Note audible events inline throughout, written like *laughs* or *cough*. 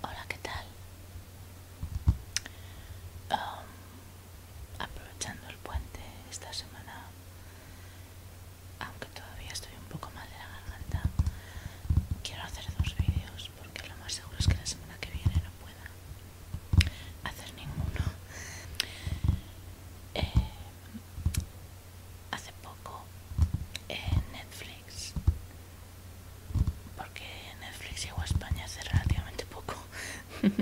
Hola, ¿qué tal? aprovechando el puente esta semana, aunque todavía estoy un poco mal de la garganta, quiero hacer dos vídeos porque lo más seguro es que la semana que viene no pueda hacer ninguno. Eh, hace poco en Netflix porque Netflix llegó a España hace relativamente poco *laughs*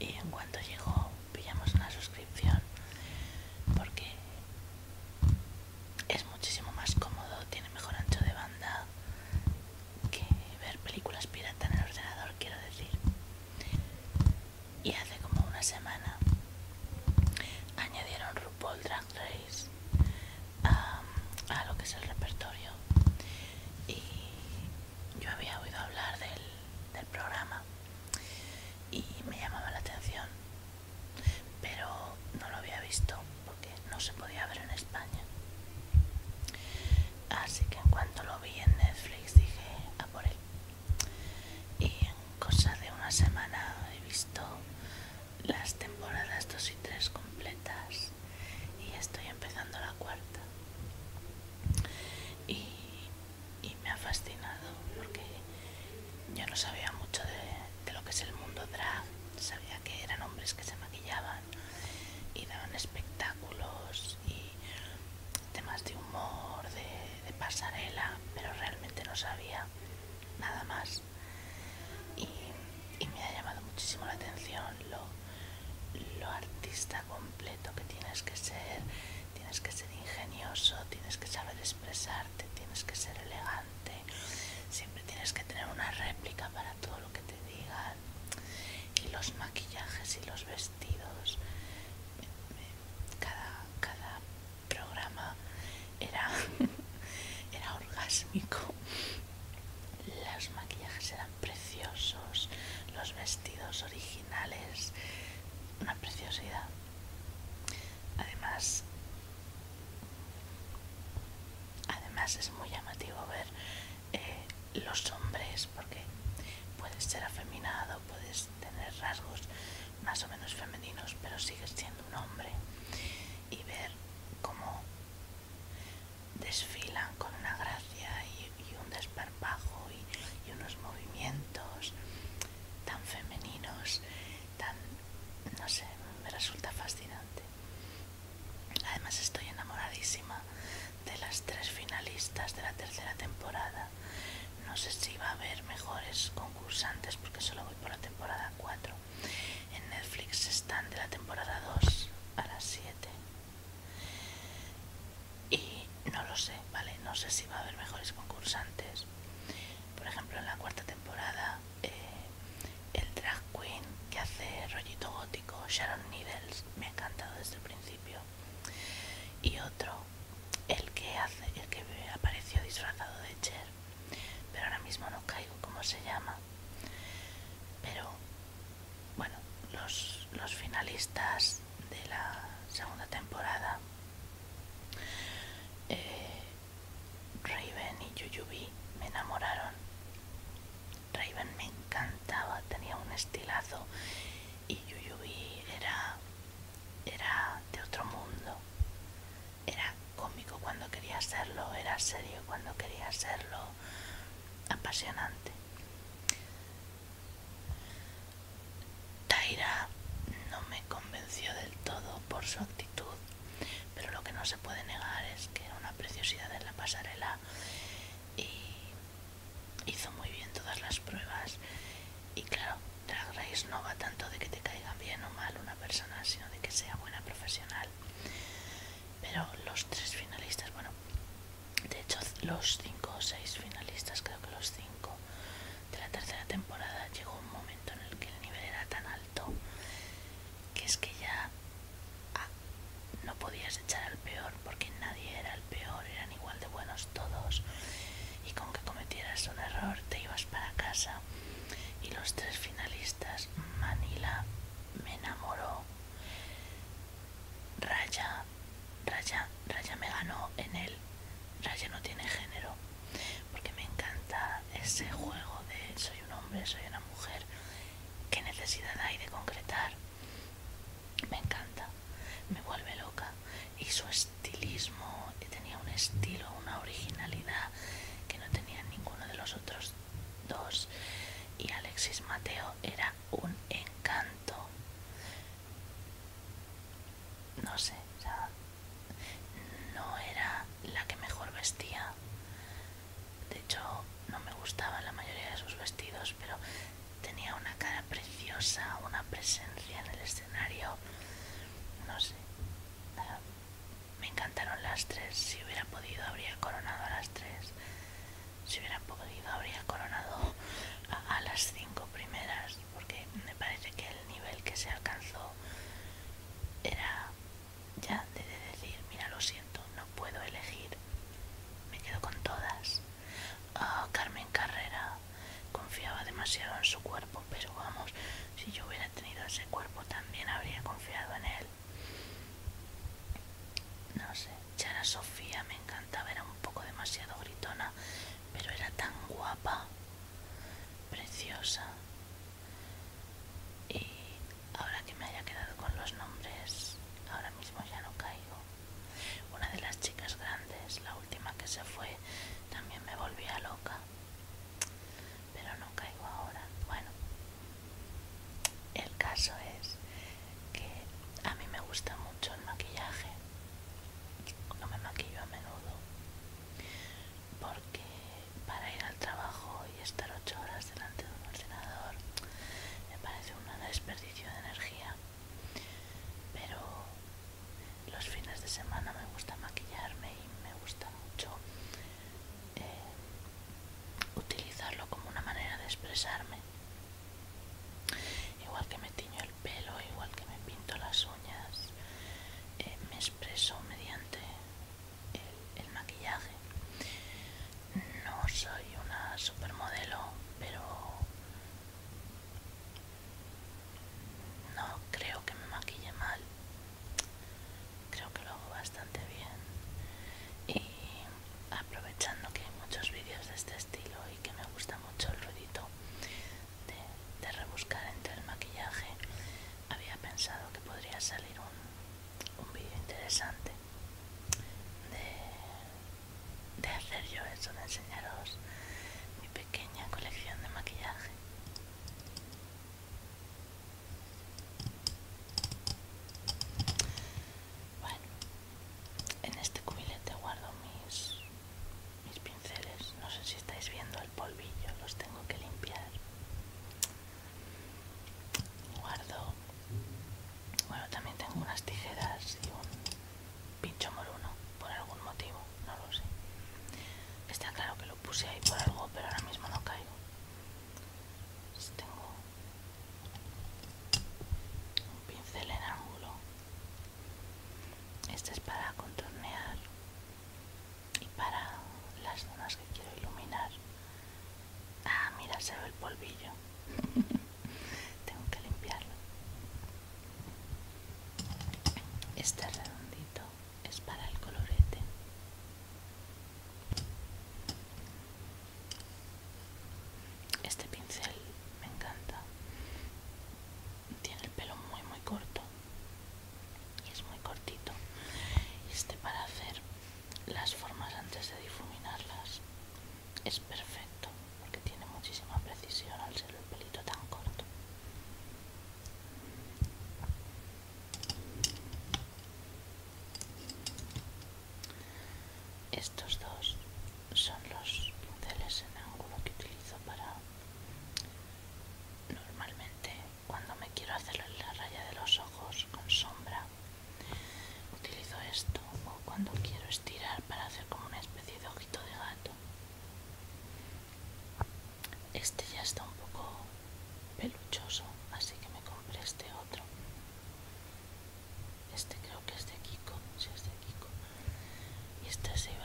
y en cuanto llegó pillamos una suscripción porque es muchísimo más cómodo, tiene mejor ancho de banda que ver películas pirata en el ordenador, quiero decir. Y hace como una semana añadieron RuPaul Drag Race a lo que es el repertorio y yo había oído hablar del, programa y me llamaba la atención pero no lo había visto porque no se podía ver en España así que en cuanto lo vi en Netflix dije a por él cosa de una semana he visto las temporadas 2 y 3 completas y estoy empezando la cuarta y, me ha fascinado porque yo no sabía mucho de, lo que es el mundo drag sabía que eran hombres que se maquillaban y daban espectáculos y temas de humor de pasarela pero realmente no sabía nada más. Y, me ha llamado muchísimo la atención lo, artista completo que tienes que ser, tienes que ser ingenioso, tienes que saber expresarte, tienes que ser elegante, siempre tienes que tener una réplica para todo lo que te digan. Y los maquillajes y los vestidos cada, cada programa era, *laughs* era orgásmico. Los maquillajes eran preciosos, los vestidos originales, una preciosidad. Además, además es muy llamativo ver eh, los hombres porque puedes ser afeminado, puedes pues, tener rasgos más o menos femeninos, pero sigues siendo un hombre. Y ver cómo desfilan con una gracia y, un desparpajo y, y unos movimientos tan femeninos, tan, no sé, me resulta fascinante. Además estoy enamoradísima de las tres finalistas de la tercera temporada no sé si va a haber mejores concursantes porque solo voy por la temporada 4 en Netflix están de la temporada 2 a la 7 y no lo sé, ¿vale? No sé si va a haber mejores concursantes. Por ejemplo, en la cuarta temporada, eh, el drag queen que hace rollito gótico, Sharon Needles, me ha encantado desde el principio. Y otro, el que hace, el que apareció disfrazado de Cher, pero ahora mismo no caigo cómo se llama pero bueno los, finalistas de la segunda temporada eh, Raven y Yuyubi me enamoraron Raven me encantaba tenía un estilazo y Yuyubi era era de otro mundo era cómico cuando quería hacerlo, era serio cuando quería hacerlo, apasionante. Taira no me convenció del todo por su actitud, pero lo que no se puede negar es que era una preciosidad en la pasarela y hizo muy bien todas las pruebas y claro, Drag Race no va tanto de que te caigan bien o mal una persona, sino de que sea buena profesional. Pero los tres finalistas, bueno, de hecho los cinco o seis finalistas, creo que los cinco de la tercera temporada, llegó un momento en el que el nivel era tan alto que es que ya ah, no podías echar al peor porque nadie era el peor, eran igual de buenos todos y con que cometieras un error te ibas para casa. Y los tres finalistas, Manila, me enamoró, Raya, Raya, Raya me ganó en él. Raya no tiene género, porque me encanta ese juego de soy un hombre, soy una mujer. ¿Qué necesidad hay de concretar? Me encanta, me vuelve loca y su estilo estilismo, tenía un estilo, una originalidad que no tenía ninguno de los otros dos. Y Alexis Mateo era un encanto. No sé, no era la que mejor vestía. De hecho, no me gustaban la mayoría de sus vestidos, pero tenía una cara preciosa, una presencia en el escenario. No sé, me encantaron las tres. Si hubiera podido, habría coronado a las tres. Si hubiera podido, habría coronado a, las cinco primeras, porque me parece que el nivel que se alcanzó era ya de decir: Mira, lo siento, no puedo elegir. Me quedo con todas. Ah, Carmen Carrera confiaba demasiado en su cuerpo, pero vamos. Si yo hubiera tenido ese cuerpo también habría confiado en él. No sé, Chara Sofía me encantaba, era un poco demasiado gritona, pero era tan guapa, preciosa. Y ahora que me haya quedado con los nombres, ahora mismo ya no caigo. Una de las chicas grandes, la última que se fue, también me volvía loca pero no caigo ahora. Bueno, el caso es que a mí me gusta mucho el maquillaje. No me maquillo a menudo porque para ir al trabajo y estar ocho horas delante de un ordenador me parece un desperdicio de energía. Pero los fines de semana me gusta maquillarme y me gusta mucho eh, utilizarlo como una manera de expresarme. Igual que me tiño el pelo, igual que me pinto las uñas, eh, me expreso mediante el, el maquillaje. No soy una supermodelo, pero no creo que me maquille mal creo que lo hago bastante bien y aprovechando que hay muchos vídeos de este estilo y que me gusta mucho el ruidito de, rebuscar entre el maquillaje había pensado que podría salir un, vídeo interesante de, de hacer yo eso de enseñaros mi pequeña colección de maquillaje bueno, en este cubilete guardo mis, mis pinceles. No sé si estáis viendo el polvillo, los tengo que limpiar. Guardo, bueno, también tengo unas tijeras y un pincho moruno por algún motivo no lo sé. Está claro que lo puse ahí por algo, pero ahora mismo no caigo. tengo un pincel en ángulo. Este es para contornear y para las zonas que quiero iluminar. Ah, mira, se ve el polvillo. *laughs* Tengo que limpiarlo. Este redondito es para el colorete. Este pincel me encanta. Tiene el pelo muy muy corto y es muy cortito. Este para hacer las formas antes de difuminarlas es perfecto porque tiene muchísima precisión al ser el pelito tan corto. Estos dos son los pinceles en ángulo que utilizo para normalmente cuando me quiero hacer la raya de los ojos con sombra. Utilizo esto o cuando quiero estirar para hacer como una especie de ojito de gato. Este ya está un poco peluchoso, así que me compré este otro. Este creo que es de Kiko, si es de Kiko. Y este es de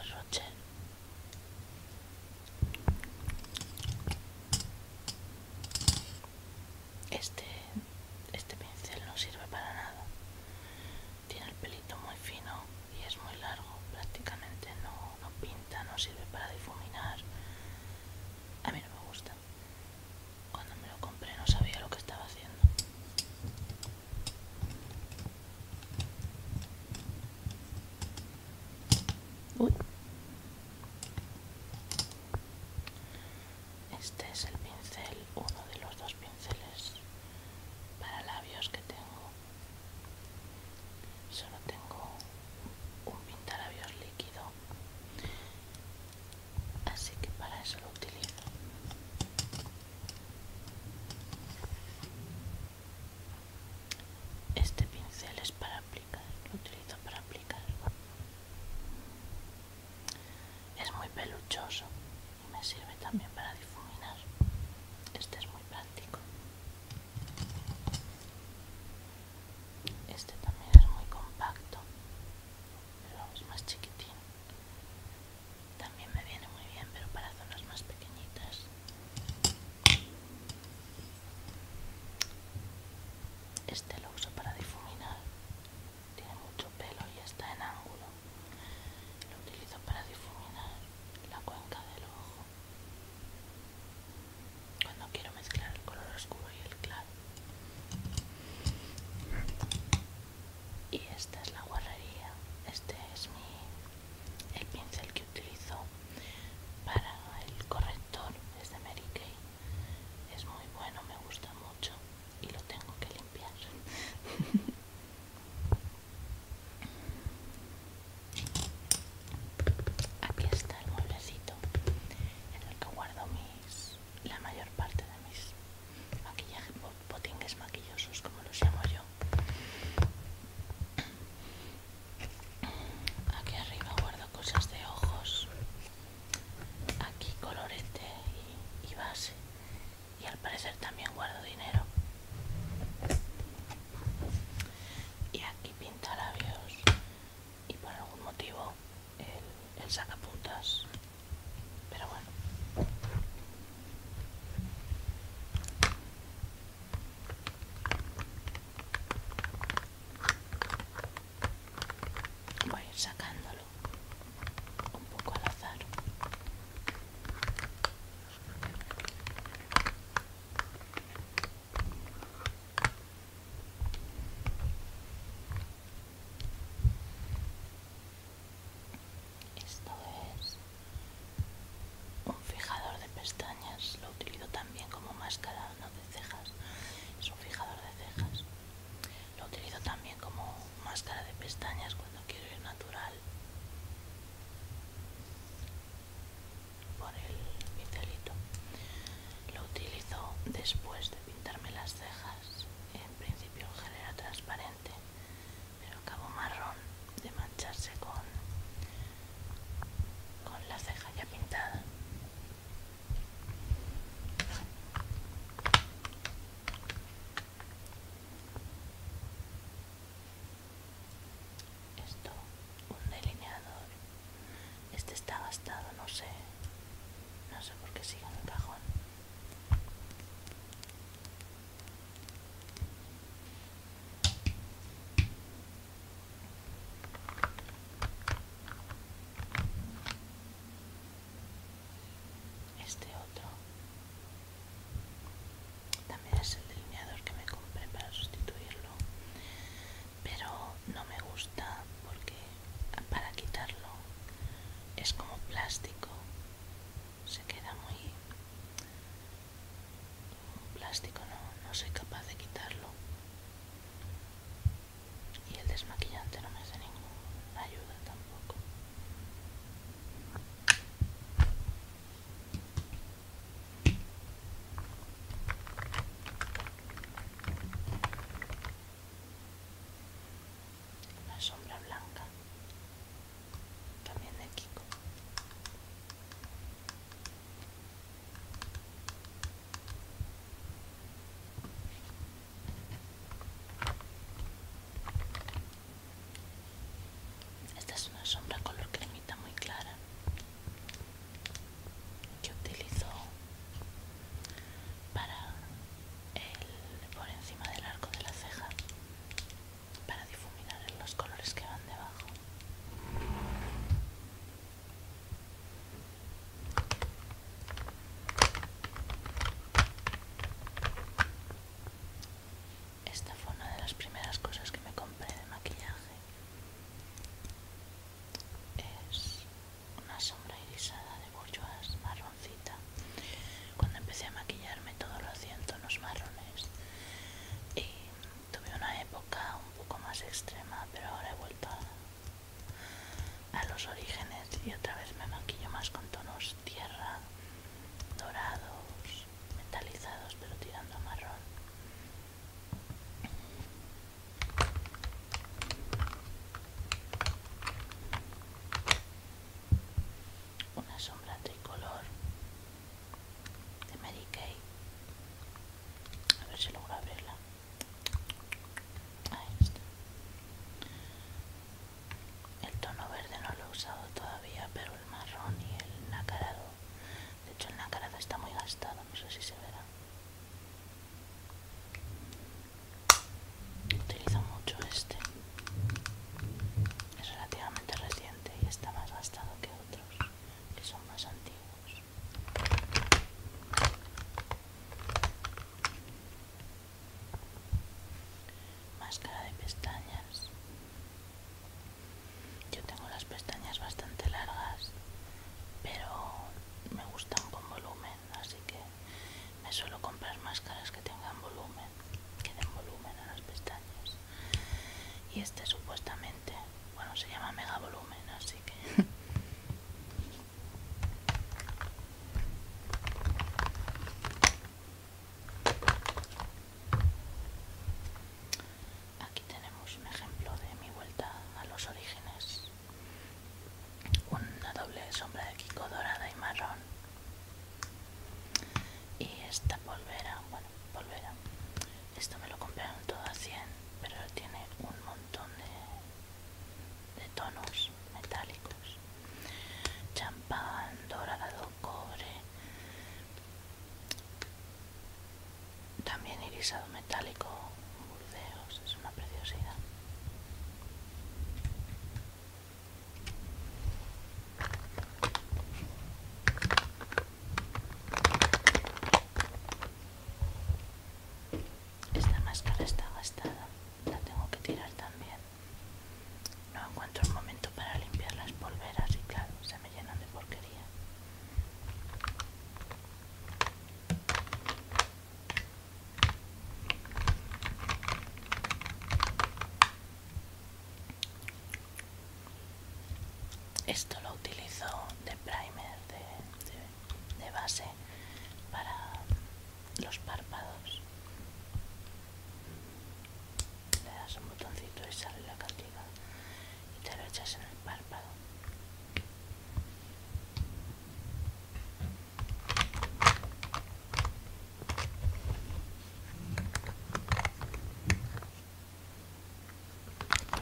Este, este pincel no sirve para nada. Tiene el pelito muy fino y es muy largo, prácticamente no, pinta, no sirve para difuminar. A mí no me gusta. Cuando me lo compré no sabía lo que estaba haciendo. Uy. Este es el pincel, uno de los dos pinceles para labios que tengo. Solo tengo un pintalabios líquido, así que para eso lo utilizo. Este pincel es para aplicar, lo utilizo para aplicar. Es muy peluchoso y me sirve también para difuminar. Este es muy práctico. Este también es muy compacto, pero es más chiquitín. También me viene muy bien, pero para zonas más pequeñitas. Este lo uso para difuminar. Tiene mucho pelo y está en ángulo. Lo utilizo para difuminar la cuenca del ojo cuando quiero mezclar el color oscuro y el claro y esta es la guarrería este es mi el pincel que utilizo para el corrector es de Mary Kay es muy bueno me gusta mucho y lo tengo que limpiar *laughs* Aquí está el mueblecito en el que guardo mis, la mayor parte de mis maquillajes, botingues maquillosos, como los llamo yo. Aquí arriba guardo cosas de ojos, aquí colorete y base, y al parecer también guardo dinero y aquí pinta labios y por algún motivo el, sacapuntas pero bueno voy a ir sacándolo un poco al azar esto es un fijador de pestañas, lo utilizo también como máscara, de cejas, es un fijador de cejas. Lo utilizo también como máscara de pestañas cuando quiero ir natural por el pincelito. Lo utilizo después de pintarme las cejas, en principio en gel era transparente, pero acabo marrón de mancharse con, con la ceja ya pintada. Esto, un delineador. Este está gastado, no sé. No sé por qué sigue en el cajón. Este otro también es el delineador que me compré para sustituirlo pero no me gusta porque para quitarlo es como plástico se queda muy plástico no, no soy capaz de quitarlo y el desmaquillante no me hace ninguna ayuda tampoco una sombra blanca, también de Kiko. Esta es una sombra color cremita muy clara que utilizo para el, por encima del arco de la ceja para difuminar los colores que van debajo. Esta fue una de las primeras cosas que me compré de maquillaje es una sombra irisada de bourgeois marroncita. Cuando empecé a maquillarme todo lo hacía en tonos marrones. Y tuve una época un poco más extrema, pero ahora he vuelto a, los orígenes y otra vez me maquillo más con tonos tierra, dorados, metalizados, pero tirando marrón una sombra tricolor de Mary Kay a ver si logro abrirla ahí está el tono verde no lo he usado todavía pero el marrón y el nacarado de hecho el nacarado está muy gastado, no sé si se verá. Utilizo mucho este. Es relativamente reciente y está más gastado que otros, que son más antiguos. Máscara de pestañas. Yo tengo las pestañas bastante largas, pero me gustan con volumen, así que me suelo comprar máscaras que tengan volumen, que den volumen a las pestañas. Y este supuestamente, bueno, se llama mega volumen, así que... *laughs* Aquí tenemos un ejemplo de mi vuelta a los orígenes. Una doble sombra de Kiko dorada y marrón. Y esta polvera, bueno, polvera. Esto me lo compraron todo a 100, pero tiene un montón de, de tonos metálicos. Champán, dorado, cobre. También irisado metálico, burdeos, es una preciosidad. Esta máscara está gastada, la tengo que tirar también. No encuentro el momento para limpiar las polveras y claro, se me llenan de porquería. Esto lo utilizo de primer, de, base para los párpados. Le das un botoncito y sale la cantidad y te lo echas en el párpado.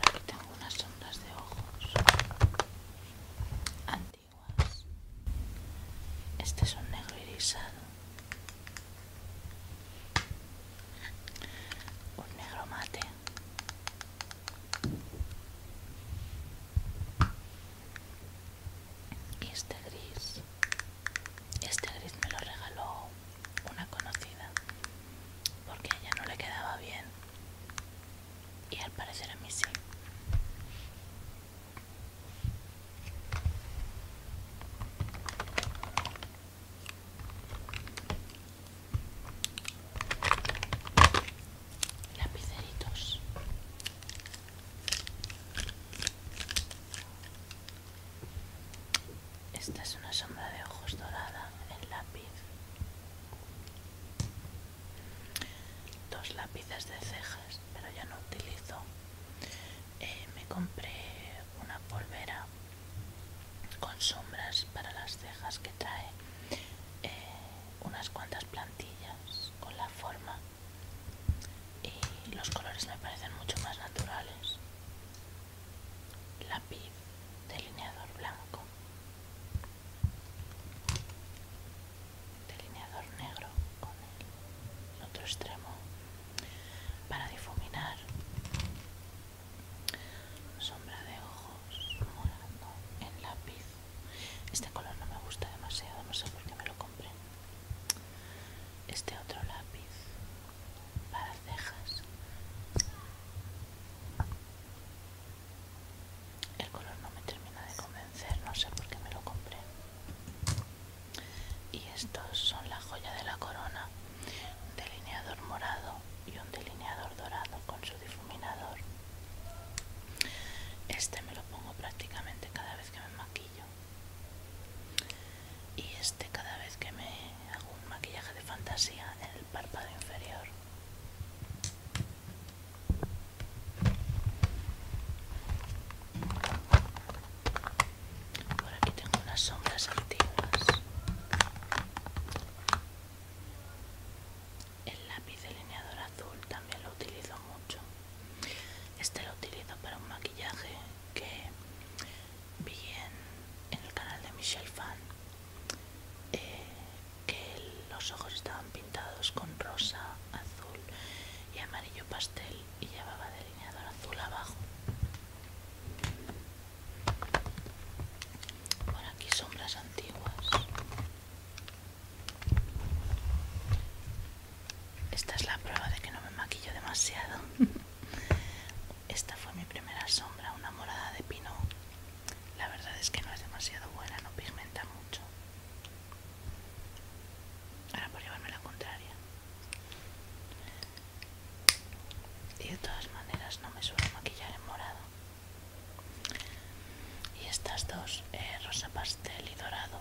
aquí tengo unas sombras de ojos antiguas. Este es un negro irisado. Un negro mate. Este gris, este gris me lo regaló una conocida porque a ella no le quedaba bien y al parecer a mí sí lapiceritos esta es una sombra de ojos dorada en lápiz dos lápices de cejas pero ya no utilizo eh, me compré una polvera con sombras para las cejas que trae eh, unas cuantas plantillas con la forma y los colores me parecen mucho más naturales lápiz delineador blanco delineador negro con el otro extremo para difuminar Sombra de ojos morando en lápiz. Este color no me gusta demasiado, no sé por qué me lo compré. Este otro lápiz para cejas. El color no me termina de convencer, no sé por qué me lo compré. Y estos son la joya de la corona delineador morado y un delineador dorado con su difuminador. Este me lo pongo prácticamente cada vez que me maquillo. Y este cada vez que me hago un maquillaje de fantasía en el párpado inferior. Por aquí tengo unas sombras antiguas el lápiz delineador azul también lo utilizo mucho. Este lo utilizo para un maquillaje que vi en, el canal de Michelle Fan, eh, que los ojos estaban pintados con rosa, azul y amarillo pastel y llevaba delineador azul abajo. Por aquí sombras antiguas. Esta es la prueba de que no me maquillo demasiado. *laughs* Esta fue mi primera sombra, una morada de pino. La verdad es que no es demasiado buena, no pigmenta mucho. Ahora por llevarme la contraria y de todas maneras no me suelo maquillar en morado y estas dos eh, rosa pastel y dorado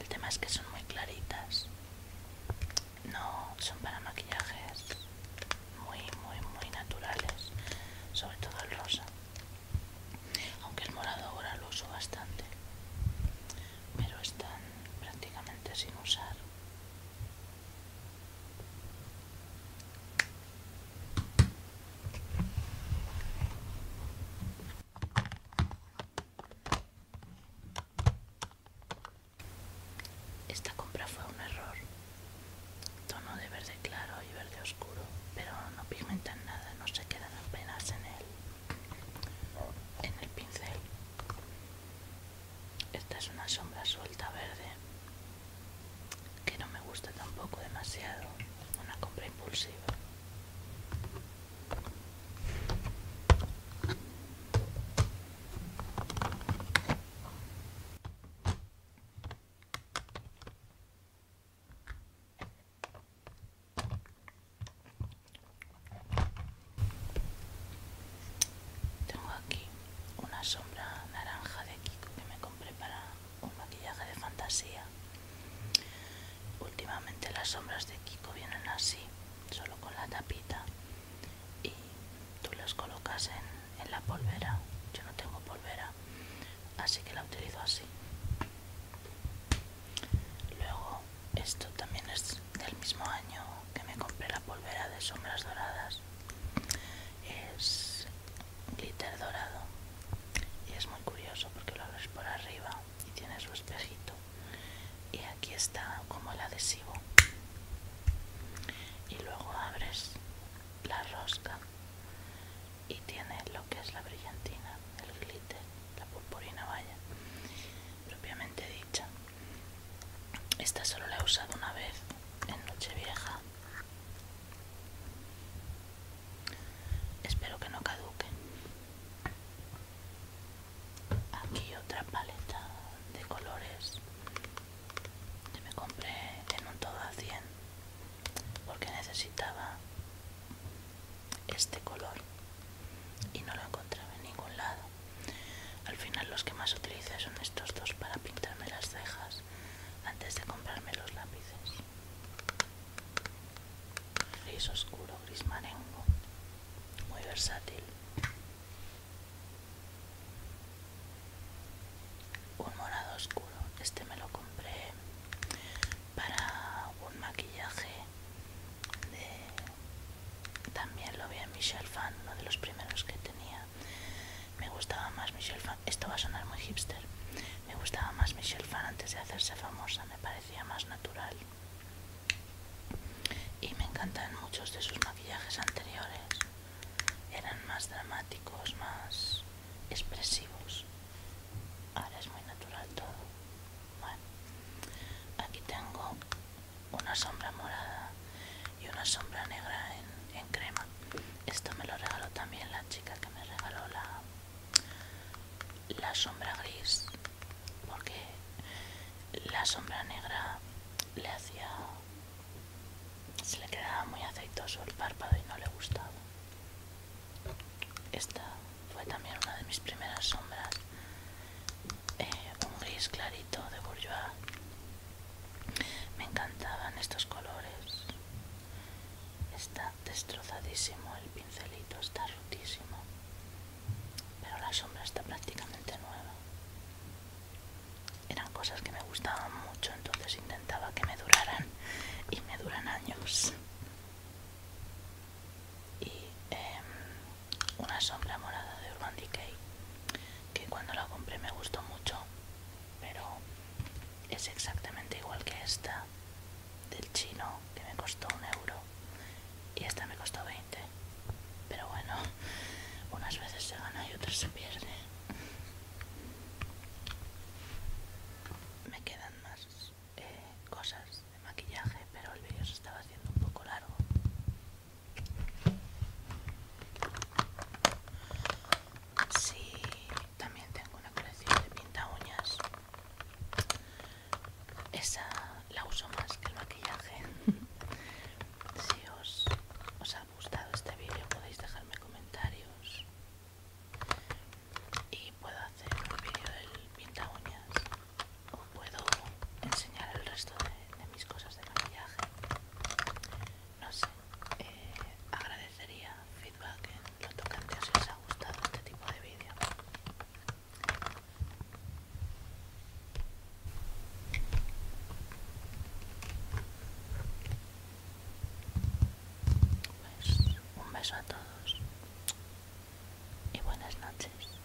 el tema es que son muy claritas no son para maquillajes muy muy muy naturales sobre todo el rosa aunque el morado ahora lo uso bastante pero están prácticamente sin usar esta compra fue un error. Tono de verde claro y verde oscuro, pero no pigmentan nada, no se quedan apenas en el En el pincel. Esta es una sombra suelta verde que no me gusta tampoco demasiado. Una compra impulsiva. Tengo aquí una sombra naranja de Kiko que me compré para un maquillaje de fantasía. Últimamente las sombras de Kiko vienen así, solo con la tapita. Y tú las colocas en, la polvera. Yo no tengo polvera, así que la utilizo así. Luego, esto también es del mismo año que me compré la polvera de sombras doradas es glitter dorado y es muy curioso porque lo abres por arriba y tiene su espejito y aquí está como el adhesivo y luego abres la rosca y tiene lo que es la brillantina el glitter la purpurina vaya propiamente dicha esta solo la he usado una vez en Nochevieja. Espero que no caduque. Aquí otra paleta de colores que me compré en un todo a 100 porque necesitaba este color y no lo encontraba en ningún lado al final los que más utilizo son estos dos para pintarme las cejas antes de comprarme los lápices. Gris oscuro, gris marengo, muy versátil. Un morado oscuro, este me lo compré para un maquillaje de... También lo vi en Michelle Fan, uno de los primeros que tenía. Me gustaba más Michelle Fan. Esto va a sonar muy hipster. Me gustaba más Michelle Fan antes de hacerse famosa, me parecía más natural. Y me encantan muchos de sus maquillajes anteriores. Eran más dramáticos, más expresivos. Ahora es muy natural todo. Bueno, aquí tengo una sombra morada y una sombra negra en, crema. Esto me lo regaló también la chica que me regaló la, la sombra gris, porque la sombra negra le hacía. se le quedaba muy aceitoso el párpado y no le gustaba. Esta fue también una de mis primeras sombras. Eh, un gris clarito de bourgeois me encantaban estos colores. Está destrozadísimo el pincelito, está rotísimo. Pero la sombra está prácticamente nueva. Eran cosas que me gustaban mucho, entonces intentaba que me duraran y me duran años. Y em, una sombra morada de Urban Decay que cuando la compré me gustó mucho, pero es exactamente igual que esta del chino que me costó un euro y esta me costó 20. Pero bueno, unas veces se gana y otras se pierde. Me quedan más eh, cosas de maquillaje, pero el vídeo se estaba haciendo un poco largo Sí, también tengo una colección de pinta uñas. Esa la uso más que el maquillaje. *laughs* si os, ha gustado este vídeo podéis dejarme comentarios. Y puedo hacer un vídeo del pinta uñas. O puedo enseñar el resto de mis cosas de maquillaje no sé, eh, agradecería feedback en lo tocante si os ha gustado este tipo de vídeo. Pues un beso a todos y buenas noches.